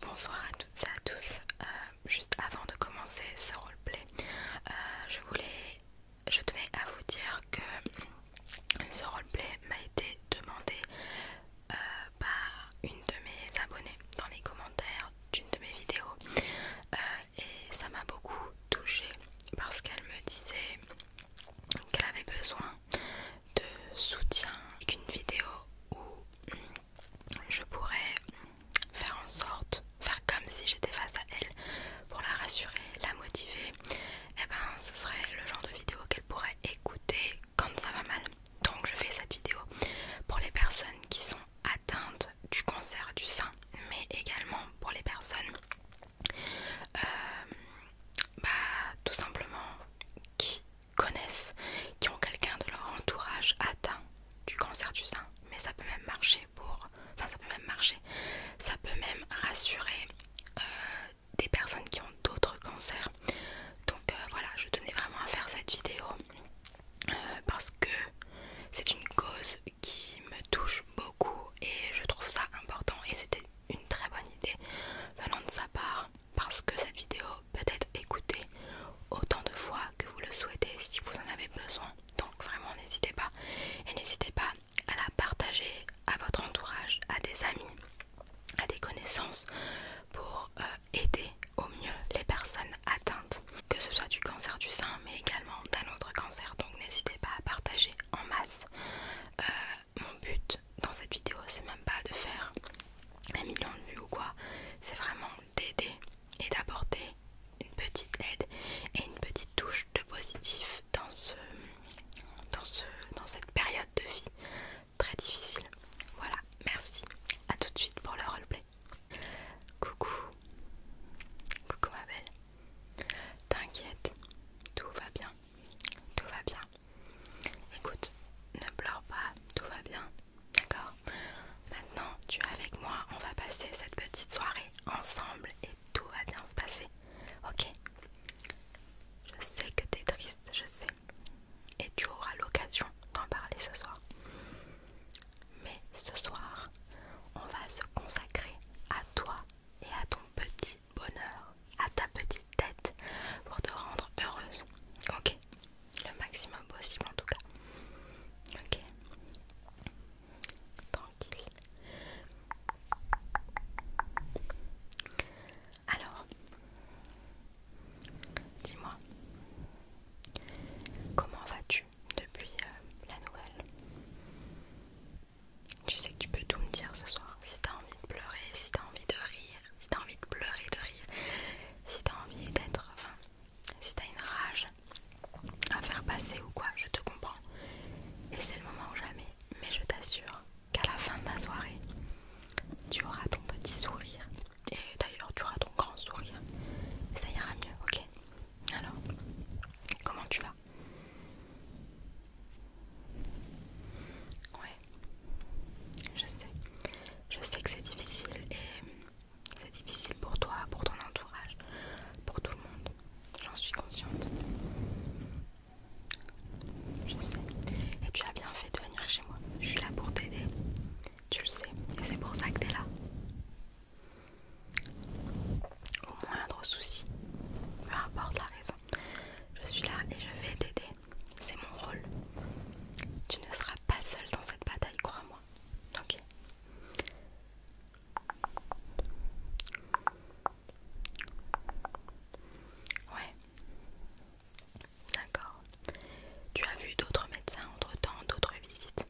Bonsoir à toutes et à tous. Euh, juste avant de commencer ce roleplay, euh, je voulais, je tenais à vous dire que ce roleplay m'a été demandé euh, par une de mes abonnées dans les commentaires d'une de mes vidéos et ça m'a beaucoup touchée parce qu'elle me disait qu'elle avait besoin de soutien, qu'une vidéo où je pourrais faire en sorte, faire comme si j'étais face à elle pour la rassurer, la motiver, et eh ben ce serait le genre de vidéo qu'elle pourrait écouter quand ça va mal. Donc je fais cette vidéo pour les personnes qui sont atteintes du cancer du sein, mais également pour les personnes euh, bah, tout simplement qui connaissent, qui ont quelqu'un de leur entourage atteint du cancer du sein. Mais ça peut même marcher pour, enfin ça peut même marcher, ça peut même rassurer euh, des personnes qui ont d'autres cancers. Donc euh, voilà, je tenais vraiment à faire cette vidéo parce que c'est une cause qui me touche beaucoup et je trouve ça important et c'était une très bonne idée venant de sa part parce que cette vidéo peut être écoutée autant de fois que vous le souhaitez si vous en avez besoin. Donc vraiment n'hésitez pas et n'hésitez pas à la partager à votre entourage, à des amis, à des connaissances pour euh, aider au mieux les personnes atteintes, que ce soit du cancer du sein mais également d'un autre cancer. Donc n'hésitez pas à partager en masse. Euh, mon but dans cette vidéo c'est même pas de faire un million de vues ou quoi, c'est vraiment d'aider et d'apporter une petite aide et une petite touche de positif dans ce dans ce dans cette période de vie très difficile. Voilà, merci. À tout de suite pour le roleplay. Coucou. Coucou ma belle. T'inquiète, tout va bien tout va bien. Écoute, ne pleure pas, tout va bien, d'accord Maintenant, tu es avec moi, on va passer cette petite soirée ensemble et tout va bien se passer, ok Je sais que tu es triste, je sais, et tu auras l'occasion d'en parler ce soir. Mais ce soir, on va se consacrer à toi et à ton petit bonheur à ta petite tête pour te rendre heureuse. Ok, le maximum possible en tout cas. Ok, tranquille. Alors, dis-moi, comment vas-tu depuis euh, la nouvelle tu sais que tu peux tout me dire ce soir. Si t'as envie de pleurer, si t'as envie de rire, si t'as envie de pleurer, de rire, si t'as envie d'être. Enfin, si t'as une rage à faire passer ou quoi, je te comprends. Et c'est le moment ou jamais. Mais je t'assure qu'à la fin de la soirée, tu auras ton petit sourire. Et d'ailleurs, tu auras ton grand sourire. ça ira mieux, ok Alors, comment tu vas Ouais, je sais. Je sais que c'est difficile et c'est difficile pour toi, pour ton entourage, pour tout le monde. J'en suis consciente. Je sais. Et tu as bien fait de venir chez moi. Je suis là pour t'aider. Tu le sais. Et c'est pour ça que tu es là. Au moindre souci, peu importe la raison, je suis là et je vais t'aider c'est mon rôle. Tu ne seras pas seul dans cette bataille, crois-moi. Ok. Ouais. D'accord. Tu as vu d'autres médecins entre-temps, d'autres visites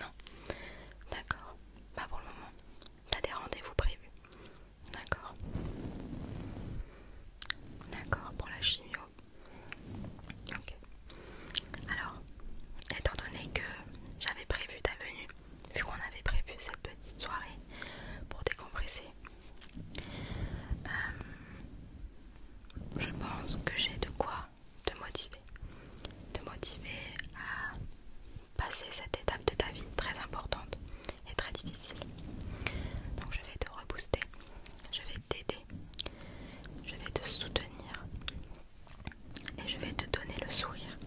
Non. D'accord. Pas pour le moment. T'as des rendez-vous prévus. D'accord. D'accord, pour la chimio. Ok. Alors, étant donné que j'avais prévu ta venue, vu qu'on avait prévu cette petite soirée pour décompresser, euh, je pense que j'ai de quoi te motiver. Te motiver à passer cette étape de ta vie très importante est très difficile. Donc je vais te rebooster, je vais t'aider, je vais te soutenir et je vais te donner le sourire.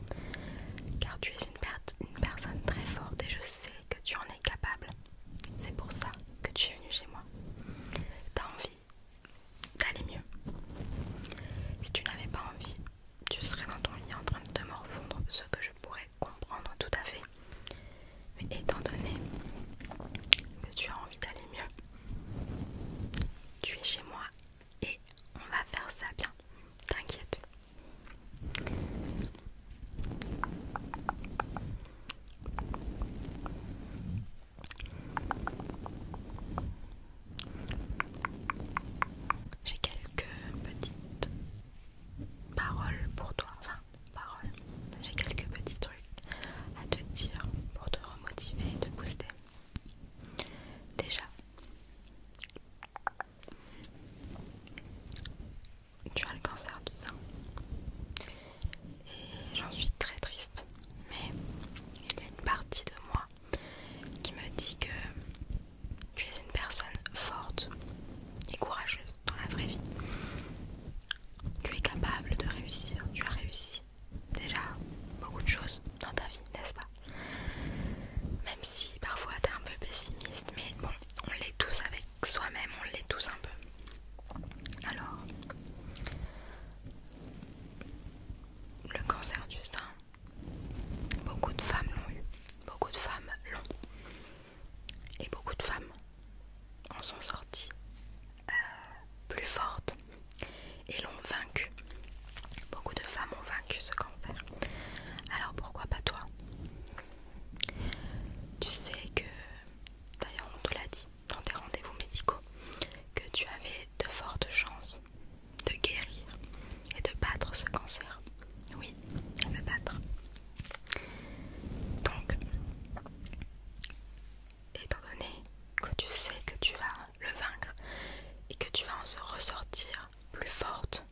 Car tu es une, une personne très forte et je sais que tu en es capable. C'est pour ça que tu es venu chez moi. T'as envie d'aller mieux. Si tu n'avais pas envie, tu serais dans ton lit en train de te morfondre, ce que je pourrais comprendre tout à fait. Mais étant donné que tu as envie d'aller mieux, tu es chez moi et on va faire ça bien. T'inquiète. J'ai quelques petites paroles pour toi, parole, j'ai quelques petits trucs à te dire pour te remotiver et te booster. Déjà, tu as le cancer du sein. Et j'en suis très triste. Mais il y a une partie de moi qui me dit que tu es une personne forte et courageuse dans la vraie vie. Tu es capable de réussir, tu as réussi déjà beaucoup de choses dans ta vie, n'est-ce pas Même si parfois t'es un peu pessimiste, mais bon, on l'est tous avec soi-même, on l'est tous un peu. Alors, le cancer du sein, beaucoup de femmes l'ont eu, beaucoup de femmes l'ont. Et beaucoup de femmes en sont sorties euh, plus fortes et l'ont vaincu. Beaucoup de femmes ont vaincu ce cancer. Alors pourquoi pas toi Tu sais que, d'ailleurs on te l'a dit dans tes rendez-vous médicaux, que tu avais de fortes chances de guérir et de battre ce cancer. Oui, de me battre. Donc, étant donné que tu sais que tu vas le vaincre et que tu vas en se ressortir plus forte,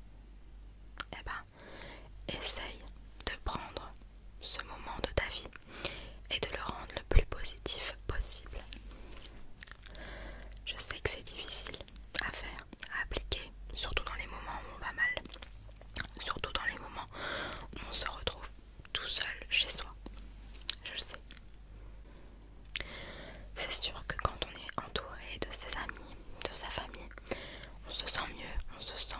eh ben, essaye de prendre ce moment de ta vie et de le rendre le plus positif possible. Je sais que c'est difficile à faire, à appliquer, surtout dans les moments où on va mal. Surtout dans les moments où on se retrouve tout seul chez soi. Je le sais. C'est sûr que quand on est entouré de ses amis, de sa famille, on se sent mieux, on se sent,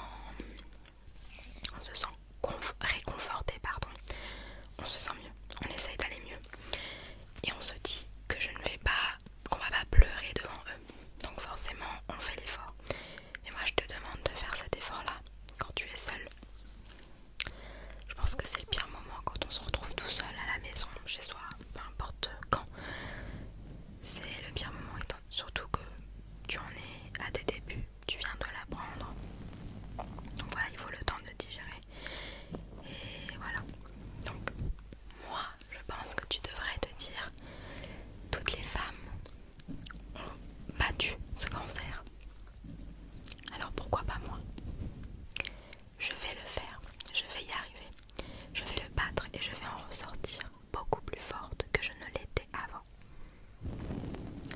on se sent réconforté, pardon. On se sent mieux, on essaye d'aller mieux. Et on se dit que je ne vais pas, qu'on va pas pleurer devant eux. Donc forcément, on fait l'effort. Et moi je te demande de faire cet effort-là quand tu es seule. Je pense que c'est le pire moment quand on se retrouve tout seul à la maison, chez soi, peu importe quand. C'est le pire moment, surtout que tu en es à tes débuts, tu viens de l'apprendre. Donc voilà, il faut le temps de digérer. Et voilà. Donc moi, je pense que tu devrais te dire, toutes les femmes ont battu ce cancer. Alors pourquoi pas moi Je vais le faire, je vais y arriver, je vais le battre et je vais en ressortir beaucoup plus forte que je ne l'étais avant.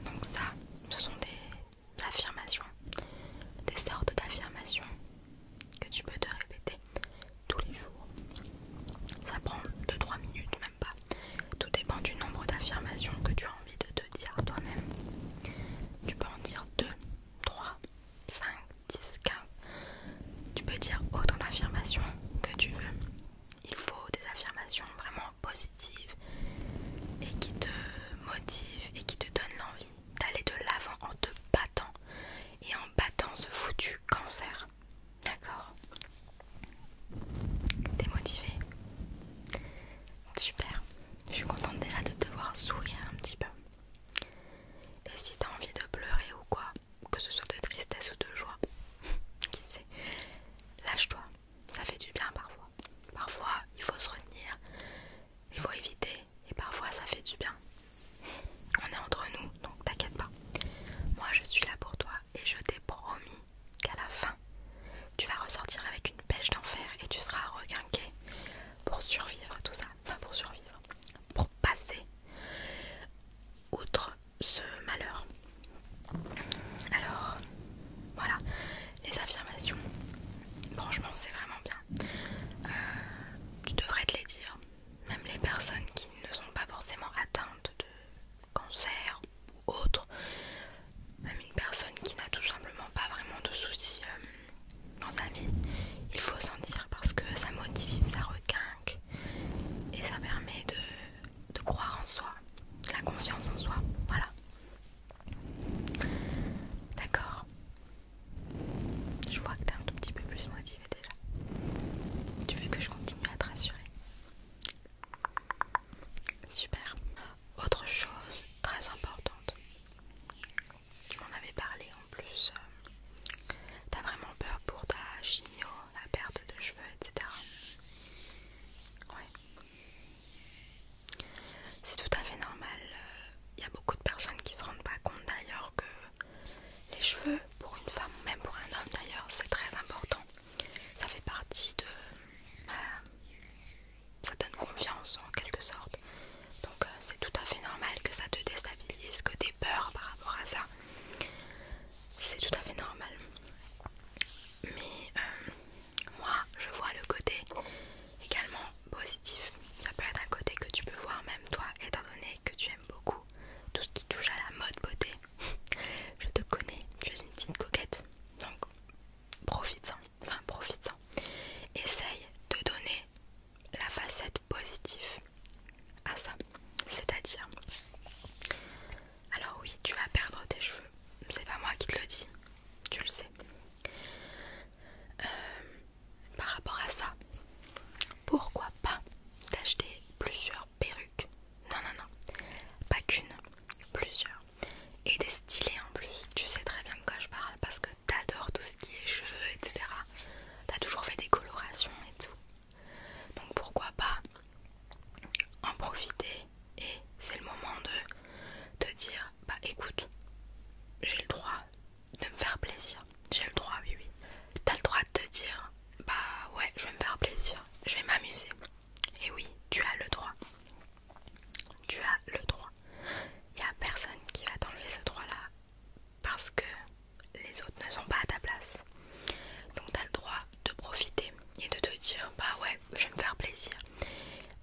Donc ça, ce sont des affirmations, des sortes d'affirmations que tu peux te répéter tous les jours. Ça prend 2-3 minutes, pas. Tout dépend du nombre d'affirmations que tu as envie de te dire toi-même. Tu peux en dire 2, 3, 5, 10, 15. Tu peux dire autant d'affirmations que tu veux. Il faut des affirmations vraiment positives et qui te motivent et qui te donnent l'envie d'aller de l'avant en te battant et en battant ce foutu cancer. D'accord. T'es motivé Super. Je suis contente déjà de te voir sourire un petit peu. Et si t'as envie de pleurer ou quoi, que ce soit de tristesse ou de joie, lâche-toi. Ça fait du bien parfois. Parfois, il faut se retenir, il faut éviter, et parfois ça fait du bien. On est entre nous, donc t'inquiète pas. Moi je suis là pour toi et je t'ai promis qu'à la fin, tu vas ressortir avec une pêche d'enfer et tu seras requinqué pour survivre tout ça. Enfin pour survivre, pour passer outre ce malheur. Alors voilà, les affirmations, franchement c'est vraiment bien. tu euh, devrais te les dire, même les personnes qui ne sont pas forcément atteintes de cancer ou autre, même une personne qui n'a tout simplement pas vraiment de soucis euh, dans sa vie, il faut s'en dire parce que ça motive, ça requinque et ça permet de, croire en soi, la confiance en soi, voilà. D'accord. Je vois que t'es un tout petit peu plus motivé déjà. Tu veux que je continue à te rassurer Super. Autre chose très importante. Tu m'en avais parlé en plus. Euh, t'as vraiment peur pour ta chimio, la perte de cheveux, etc. Ouais. C'est tout à fait normal. Il euh, y a beaucoup de personnes qui se rendent pas compte d'ailleurs que les cheveux, pour une femme, même pour un homme d'ailleurs, c'est très important ça fait partie de ça donne confiance en quelque sorte donc euh, c'est tout à fait normal que ça te déstabilise que t'aies peur par rapport à ça c'est tout à fait normal mais euh, moi je vois le côté également positif ça peut être un côté que tu peux voir même toi étant donné que tu aimes beaucoup tout ce qui touche à la mode beauté je te connais, tu suis une petite coquette. Donc, profite-en. Enfin, profite-en. Essaye de donner la facette positive à ça. C'est-à-dire, alors oui, tu vas perdre tes cheveux. C'est pas moi qui te le dis. Tu le sais. Euh, par rapport à ça, pourquoi pas t'acheter plusieurs perruques non, non, non. Pas qu'une, plusieurs. Et des stylés en plus. Tu sais très bien de quoi je parle parce que t'adores tout ce qui est cheveux, etc. T'as toujours fait des colorations et tout. Donc pourquoi pas en profiter et c'est le moment de te dire bah écoute j'ai le droit de me faire plaisir j'ai le droit oui oui t'as le droit de te dire bah ouais je vais me faire plaisir je vais m'amuser et oui, tu as le droit. Tu as le droit. Il n'y a personne qui va t'enlever ce droit-là parce que les autres ne sont pas à ta place. Donc tu as le droit de profiter et de te dire bah ouais, je vais me faire plaisir.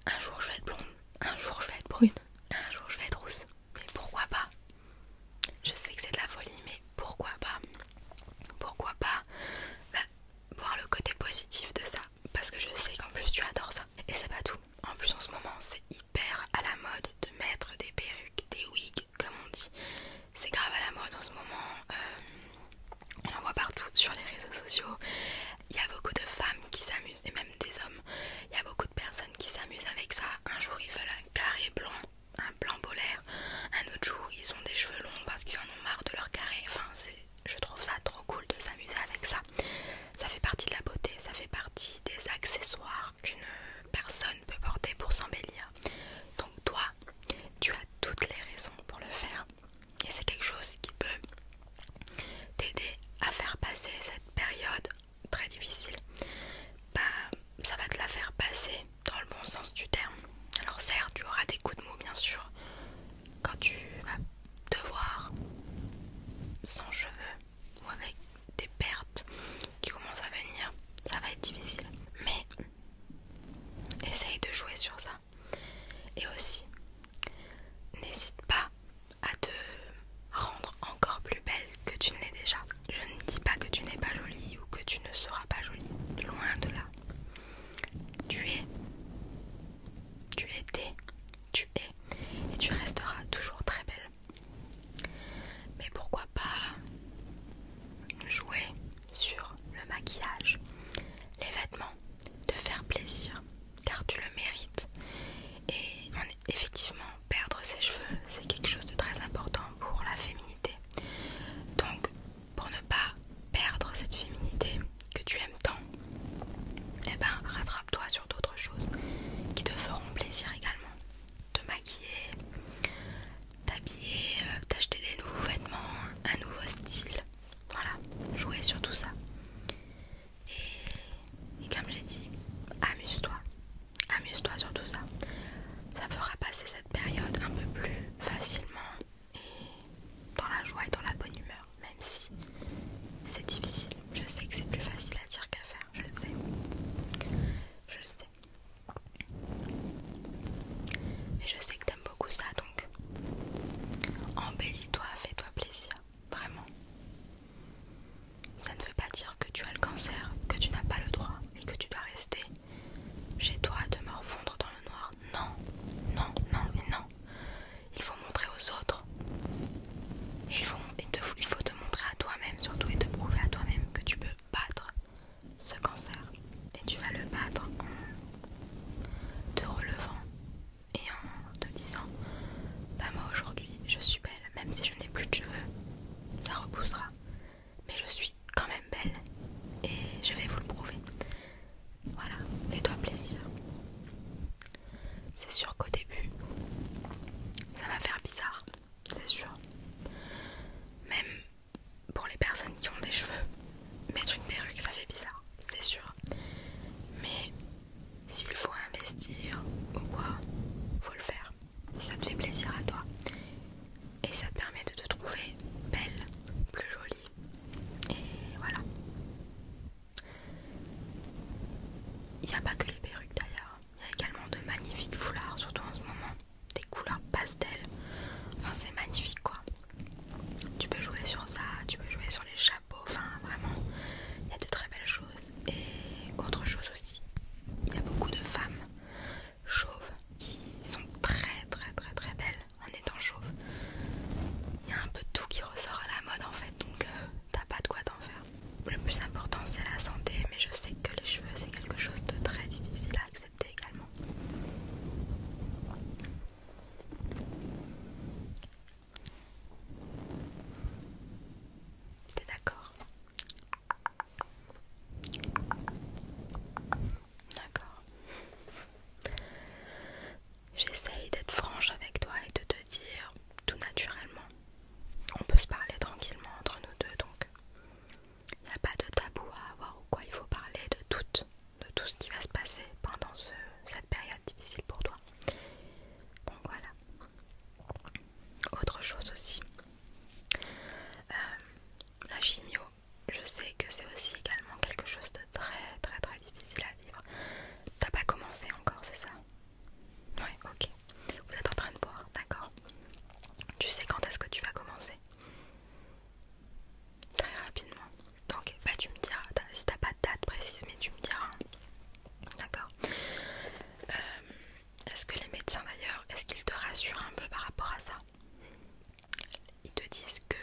Un jour je vais être blonde, un jour je vais être brune, un jour je vais être rousse. Mais pourquoi pas Je sais que c'est de la folie, mais pourquoi pas Pourquoi pas bah, voir le côté positif de ça parce que je sais qu'en plus tu adores ça. Et c'est pas tout. En plus en ce moment c'est hyper à la mode de mettre des perruques, des wigs comme on dit. C'est grave à la mode en ce moment. Euh, on en voit partout sur les réseaux sociaux. Il y a beaucoup de femmes qui s'amusent et même des hommes. Il y a beaucoup de personnes qui s'amusent avec ça. Un jour ils veulent un carré blanc un plan polaire. Un autre jour, ils ont des cheveux longs parce qu'ils en ont marre de leur carré. Enfin, je trouve ça trop cool de s'amuser avec ça. Ça fait partie de la beauté, ça fait partie des accessoires qu'une personne peut porter pour s'embellir. Donc toi, tu as toutes les raisons pour le faire. Et c'est quelque chose qui peut t'aider à faire passer cette période très difficile. Bah, ça va te la faire passer dans le bon sens du terme. Alors certes, tu auras des coups de mou bien sûr quand tu vas te voir sans cheveux ou avec des pertes qui commencent à venir, ça va être difficile. Mais essaye de jouer sur ça. Et aussi, n'hésite pas à te rendre encore plus belle que tu ne l'es déjà. Je ne dis pas que tu n'es pas jolie ou que tu ne seras pas jolie, loin de là. Tu es, tu étais, tu es, et tu resteras toujours très belle. Mais pourquoi pas jouer sur le maquillage, les vêtements, te faire plaisir, car tu le mérites. Et effectivement, perdre ses cheveux, c'est quelque chose de très important pour la féminité. Donc, pour ne pas perdre cette féminité que tu aimes tant, eh ben rattrape-toi sur d'autres choses qui te feront plaisir également. Te maquiller, t'habiller, euh, t'acheter des nouveaux vêtements, un nouveau style. Voilà, jouer sur tout ça. et comme j'ai dit, amuse-toi. Amuse-toi sur tout ça. Ça fera passer cette période un peu plus facilement et dans la joie et dans la bonne humeur, même si c'est difficile. Je sais que c'est plus facile à dire qu'à faire, je le sais. Je le sais. Mais je sais que t'aimes beaucoup ça, donc embellis-toi, fais-toi plaisir, vraiment. Ça ne veut pas dire que tu as le cancer, que tu n'as pas le droit et que tu vas rester chez toi, de me refondre dans le noir. Non, non, non, mais non. Il faut montrer aux autres. il faut, il faut te montrer à toi-même, surtout, et te prouver à toi-même que tu peux battre ce cancer. Et tu vas le battre en te relevant et en te disant Bah, moi aujourd'hui, je suis belle, même si je n'ai plus de cheveux, ça repoussera. Mais je suis quand même belle et je vais vous le prouver. Voilà, fais-toi plaisir. C'est sûr qu'au début, ça va faire bizarre, c'est sûr. Même pour les personnes qui ont des cheveux, mettre une perruque, ça fait bizarre, c'est sûr. Mais s'il faut investir ou quoi, faut le faire. Si ça te fait plaisir à toi et ça te permet de te trouver belle, plus jolie et voilà. Il n'y a pas que les perruques d'ailleurs. Il y a également de magnifiques foulards, surtout en ce moment. Des couleurs pastel. Enfin, c'est magnifique quoi. Tu peux jouer sur ça, tu peux jouer sur les chapeaux. Enfin, vraiment, il y a de très belles choses. Et autre chose aussi, il y a beaucoup de femmes chauves qui sont très très très très belles en étant chauve. Il y a un peu tout qui ressort à la mode en fait, donc euh, t'as pas de quoi t'en faire. Le plus important c'est la santé, mais je sais que les cheveux c'est quelque chose de très difficile à accepter également. T'es d'accord D'accord. J'essaye d'être franche avec toi et de te dire tout naturellement. On peut se parler tranquillement entre nous deux donc. Il n'y a pas de tabou à avoir ou quoi, il faut parler de tout, de tout ce qui va se passer pendant cette période difficile pour toi. Donc voilà. Autre chose aussi, euh, la chimio, je sais que c'est aussi également quelque chose de très très très difficile à vivre. T'as pas commencé encore, c'est ça Ouais, ok. Vous êtes en train de boire, d'accord. Tu sais quand est-ce que tu vas commencer Très rapidement. Donc, bah tu me diras, si t'as pas de date précise, mais tu me diras. Hein. D'accord. Euh, est-ce que les médecins d'ailleurs, est-ce qu'ils te rassurent un peu par rapport à ça Ils te disent que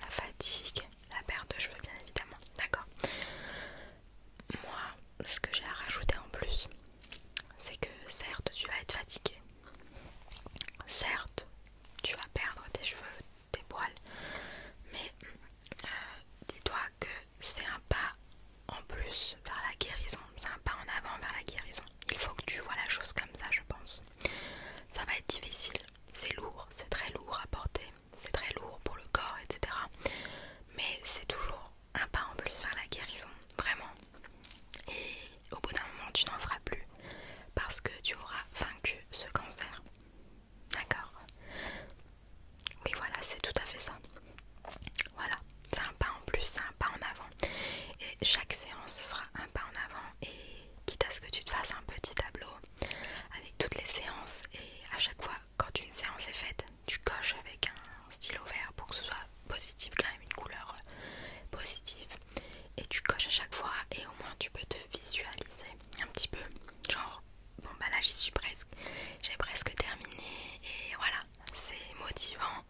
la fatigue, la perte de cheveux bien évidemment, d'accord Moi, ce que j'ai à rajouter en plus, c'est que certes tu vas être fatigué, certes tu vas perdre tes cheveux, tes poils, mais euh, dis-toi que c'est un pas en plus vers la guérison, c'est un pas en avant vers la guérison. Il faut que tu vois la chose comme ça, je pense. Ça va être difficile, c'est lourd, c'est très lourd à porter, c'est très lourd pour le corps, etc. Mais c'est toujours un pas en plus vers la guérison, vraiment. Et au bout d'un moment, tu n'en feras plus parce que tu auras vaincu ce cancer. D'accord Oui, voilà, c'est tout à fait ça. Voilà, c'est un pas en plus, c'est un pas en avant. Et chaque séance sera un pas en avant et quitte à ce que tu te fasses un petit tableau avec toutes les séances et à chaque fois quand une séance est faite tu coches avec un stylo vert pour que ce soit positif quand même une couleur euh, positive et tu coches à chaque fois et au moins tu peux te visualiser un petit peu genre bon bah là j'y suis presque j'ai presque terminé et voilà c'est motivant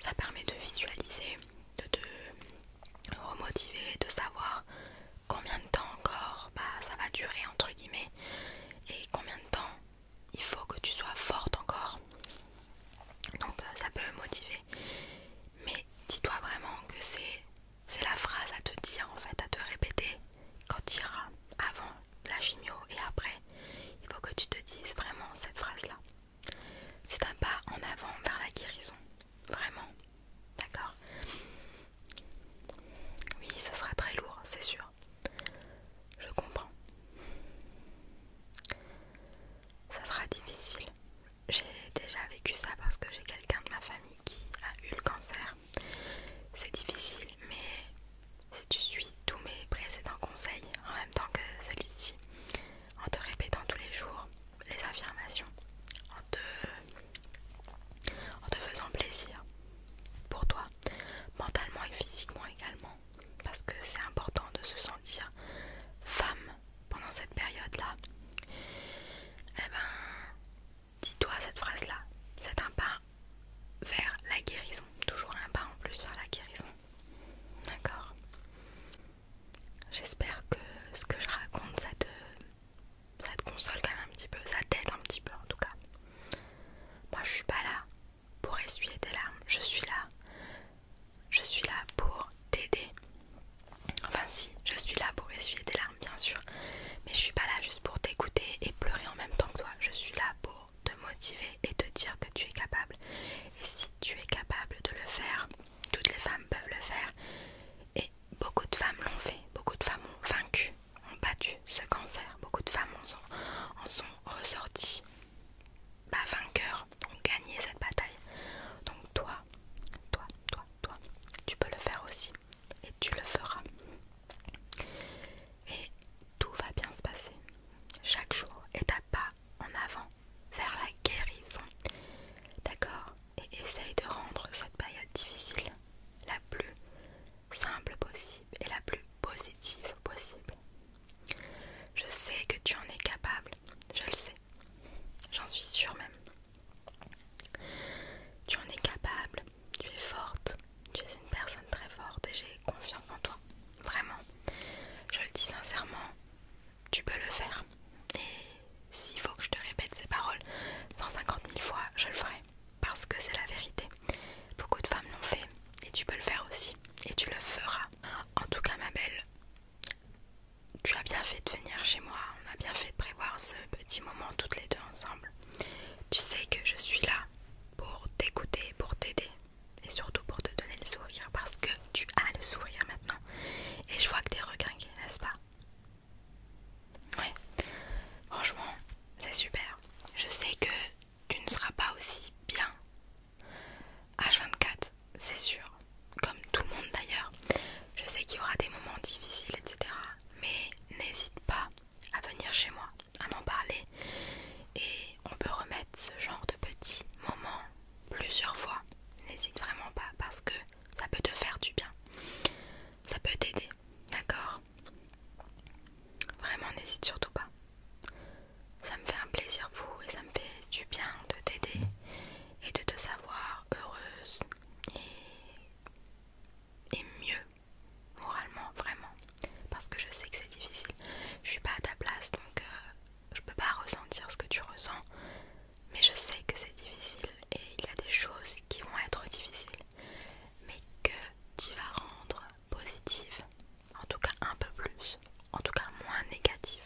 ça permet de visualiser de te remotiver, de savoir combien de temps encore bah, ça va durer entre guillemets et combien de temps il faut que tu sois forte encore. Donc euh, ça peut motiver. Mais dis-toi vraiment que c'est la phrase à te dire en fait, à te répéter quand tu iras avant la chimio et après. Il faut que tu te dises vraiment cette phrase-là. C'est un pas en avant vers la guérison. Vraiment D'accord Oui, ça sera très lourd, c'est sûr. Je comprends. Ça sera difficile. J'ai déjà vécu ça parce que j'ai quelqu'un de ma famille qui a eu le cancer. C'est difficile, mais si tu suis tous mes précédents conseils en même temps que celui-ci, en te répétant tous les jours, les affirmations en te, en te faisant plaisir pour toi, mentalement et physiquement également, parce que c'est important de se sentir femme pendant cette période-là. et eh ben, dis-toi cette phrase-là, c'est un pas vers la guérison, toujours un pas en plus vers la guérison. D'accord J'espère que ce que je raconte, ça te, ça te console quand même un petit peu, ça t'aide un petit peu en tout cas. Moi je suis pas là pour essuyer tes larmes, je suis là, je suis là pour t'aider. Enfin si, je suis là pour essuyer tes larmes bien sûr, mais je suis pas là juste pour t'écouter et pleurer en même temps que toi, je suis là pour te motiver et te dire que tu es capable. Et si tu es capable de le faire, toutes les femmes peuvent le faire beaucoup de femmes l'ont fait, beaucoup de femmes ont vaincu, ont battu ce cancer, beaucoup de femmes en sont, ressorties bah, vainqueurs, ont gagné cette bataille. Donc toi, toi, toi, toi, tu peux le faire aussi et tu le feras. Et tout va bien se passer. Chaque jour est un pas en avant vers la guérison. D'accord et essaye de rendre cette période difficile la plus simple possible et la plus positive possible. Je sais que tu en es capable, je le sais, j'en suis sûre même. Tu en es capable, tu es forte, tu es une personne très forte et j'ai confiance en toi, vraiment. Je le dis sincèrement, tu peux le faire. Et s'il faut que je te répète ces paroles 150 000 fois, je le ferai. Parce que c'est la vérité. Beaucoup de femmes l'ont fait. Et tu peux le faire aussi. Et tu le feras. En tout cas, ma belle, tu as bien fait de venir chez moi. On a bien fait de prévoir ce petit moment toutes les deux ensemble. Tu sais que je suis là pour t'écouter, pour t'aider. Et surtout pour te donner le sourire. Parce que tu as le sourire maintenant. Et je vois que es regringuée, n'est-ce pas Ouais, franchement, c'est super. Je sais que tu ne seras pas aussi bien H24, c'est sûr. Comme tout le monde d'ailleurs. Je sais qu'il y aura des moments difficiles, etc. Mais n'hésite pas à venir chez moi, à m'en parler. Et on peut remettre ce genre de petits moments plusieurs fois. N'hésite vraiment pas parce que ça peut te faire du bien, ça peut t'aider, d'accord Vraiment, n'hésite surtout pas. Ça me fait un plaisir vous et ça me fait du bien de t'aider et de te savoir heureuse et, mieux moralement, vraiment. Parce que je sais que c'est difficile. Je suis pas à ta place donc je euh, je peux pas ressentir ce que tu ressens. Mais je sais que c'est difficile et il y a des choses qui vont être difficiles, mais que tu vas rendre positive en tout cas un peu plus, en tout cas moins négative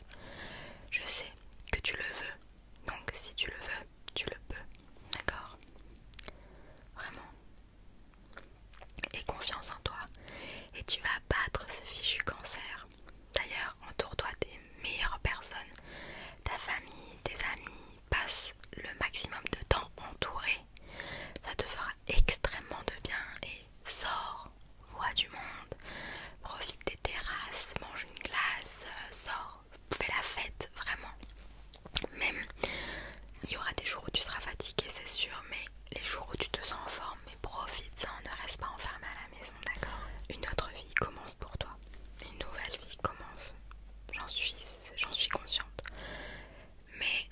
Je sais que tu le veux, donc si tu le veux, tu le peux, d'accord Vraiment. Et confiance en toi, et tu vas battre ce fichu cancer. D'ailleurs, entoure-toi des meilleure personne. Ta famille, tes amis, passe le maximum de temps entouré. Ça te fera extrêmement de bien et sors, vois du monde, profite des terrasses, mange une glace, euh, sors, fais la fête, vraiment. Même, il y aura des jours où tu seras fatigué, c'est sûr, mais les jours où tu te sens en forme, profite-en, ne reste pas enfermé à la maison, d'accord Une autre vie commence pour toi, une nouvelle vie commence. J'en suis, j'en suis consciente. Mais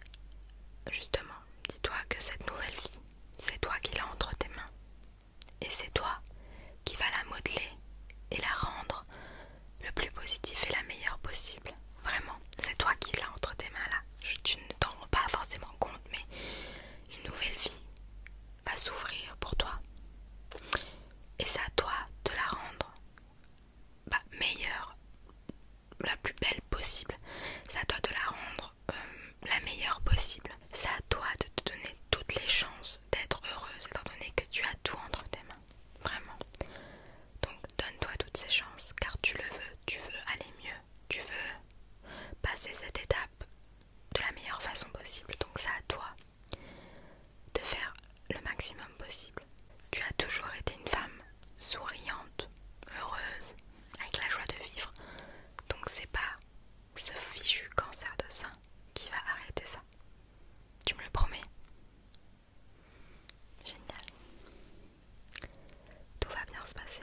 justement, dis-toi que cette nouvelle vie, c'est toi qui l'as entre tes mains. Et c'est toi qui va la modeler et la rendre le plus positif et la meilleure possible. Vraiment, c'est toi qui l'as entre tes mains là. tu ne t'en rends pas forcément compte, mais une nouvelle vie va s'ouvrir pour toi et c'est à toi de la rendre bah, meilleure, la plus belle possible. C'est à toi de la rendre euh, la meilleure possible. C'est à toi de te donner toutes les chances d'être heureuse étant donné que tu as tout entre tes mains. Vraiment. Donc donne-toi toutes ces chances car tu le veux, tu veux aller mieux, tu veux passer cette étape de la meilleure façon possible. Donc c'est à toi de faire le maximum possible. Tu as toujours été une femme souriante, heureuse, avec la joie de vivre. Donc c'est pas ce fichu cancer de sein qui va arrêter ça. Tu me le promets Génial. Tout va bien se passer.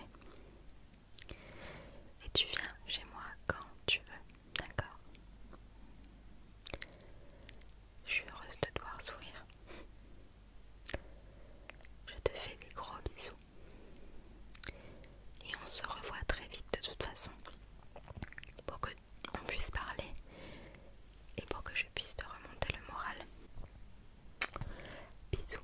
Et tu viens chez moi quand tu veux. D'accord. Je suis heureuse de te voir sourire. Je te fais des gros bisous. Et on se revoit très vite de toute façon. Pour que on puisse parler et pour que je puisse te remonter le moral. Bisous.